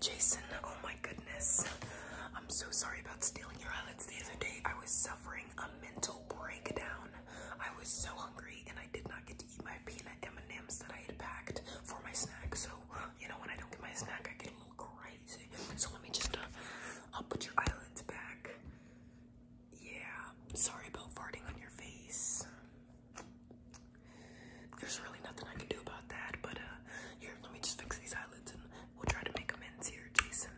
Jason, oh my goodness. I'm so sorry about stealing your eyelids the other day. I was suffering a mental breakdown. I was so hungry and I did not get to eat my peanut M&Ms that I had packed for my snack. So, you know, when I don't get my snack, I get a little crazy. So let me just, uh, I'll put your eyelids back. Yeah, sorry about farting on your face. There's really nothing I can do about that, but uh, here, let me just fix these eyelids and we'll try to make amends here, Jason.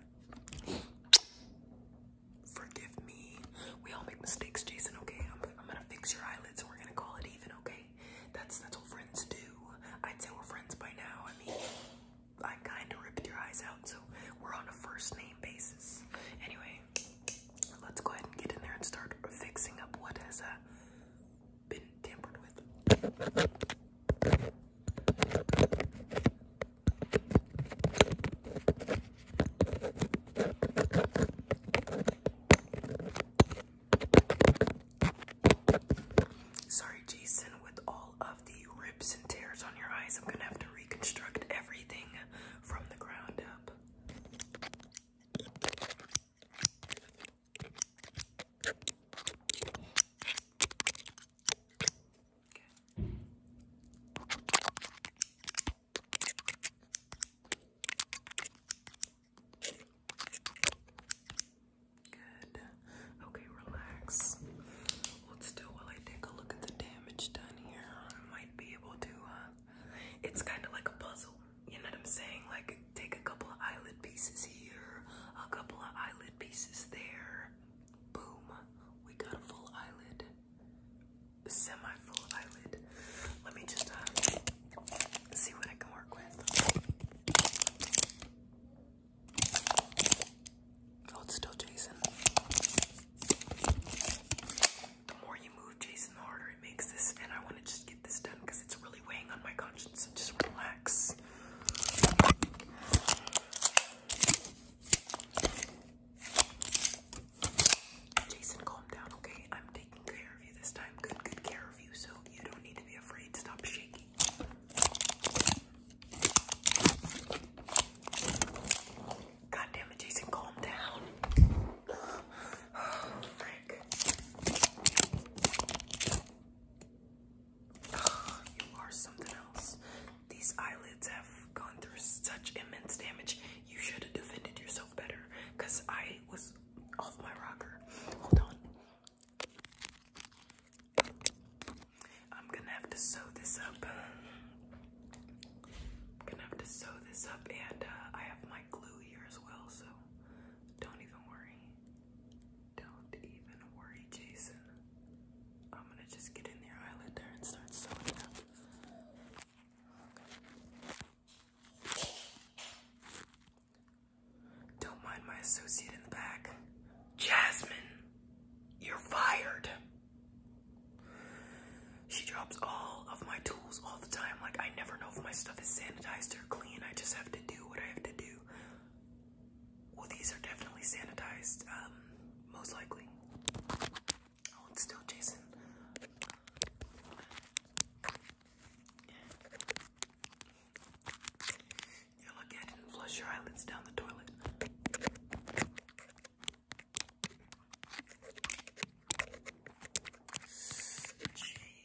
Forgive me. We all make mistakes, Jason, okay? I'm, gonna fix your eyelids and we're gonna call it even, okay? That's, that's what friends do. I'd say we're friends by now. I mean, I kinda ripped your eyes out, so we're on a first name basis. Anyway, let's go ahead and get in there and start fixing up what has uh, been tampered with. Sorry, Jason, with all of the rips and tears on your eyes, I'm gonna have to reconstruct everything from the ground up. Good. Okay, relax. Let's do while I take a look at the damage done here. I might be able to, uh, it's kind of like a puzzle. You know what I'm saying? Like take a couple of eyelid pieces here, a couple of eyelid pieces there. Boom, we got a full eyelid, semi-full eyelid. Let me just uh, see what I can work with. Oh, it's still Jason. The more you move, Jason, the harder it makes this, and I want to just get this done because it's really weighing on my conscience. just relax. Jason, calm down, okay? I'm taking care of you this time. Good, good care of you, so you don't need to be afraid. Stop shaking. God Jason, calm down. Frank. you are something else. These eyelids have gone through such immense damage. You should have defended yourself better because I was off my rocker. Hold on. I'm gonna have to sew this up. gonna have to sew this up, and uh, I have my glue here as well, so don't even worry. Don't even worry, Jason. I'm gonna just get in there, eyelid there, and start sewing up. Don't mind my associate in the back. Jasmine, you're fired. She drops all of my tools all the time. Like, I never know if my stuff is sanitized or clean. I just have to do what I have to do. Well, these are definitely sanitized, um, most likely. Oh, it's still Jason. You look at it and flush your eyelids down the toilet.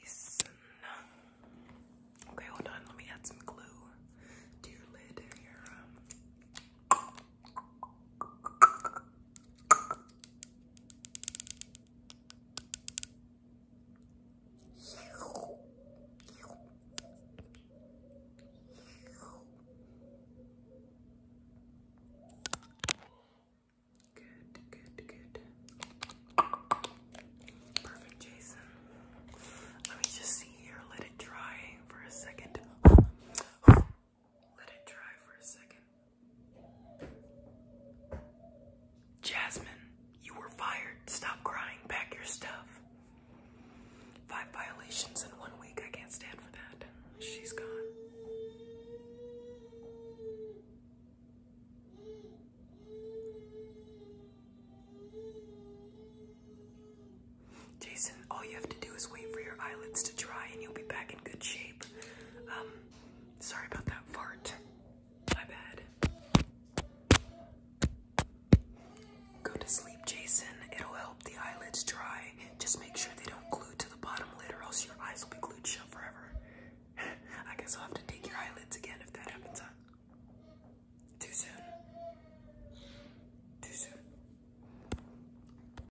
Jason. Okay, hold on. Let me add some glue to your lid here. Good, good, good. Perfect, Jason. Let me just see here. Let it dry for a second. Let it dry for a second. Jasmine, you were fired. Stop crying. Pack your stuff. Five violations in one week. I can't stand for that. She's gone. Jason, all you have to do is wait for your eyelids to dry and you'll be back in good shape. Um, Sorry about that fart. My bad. Go to sleep, Jason. It'll help the eyelids dry. Just make sure they don't glue to the bottom lid or else your eyes will be glued shut forever. I guess I'll have to take your eyelids again if that happens, Too soon. Too soon.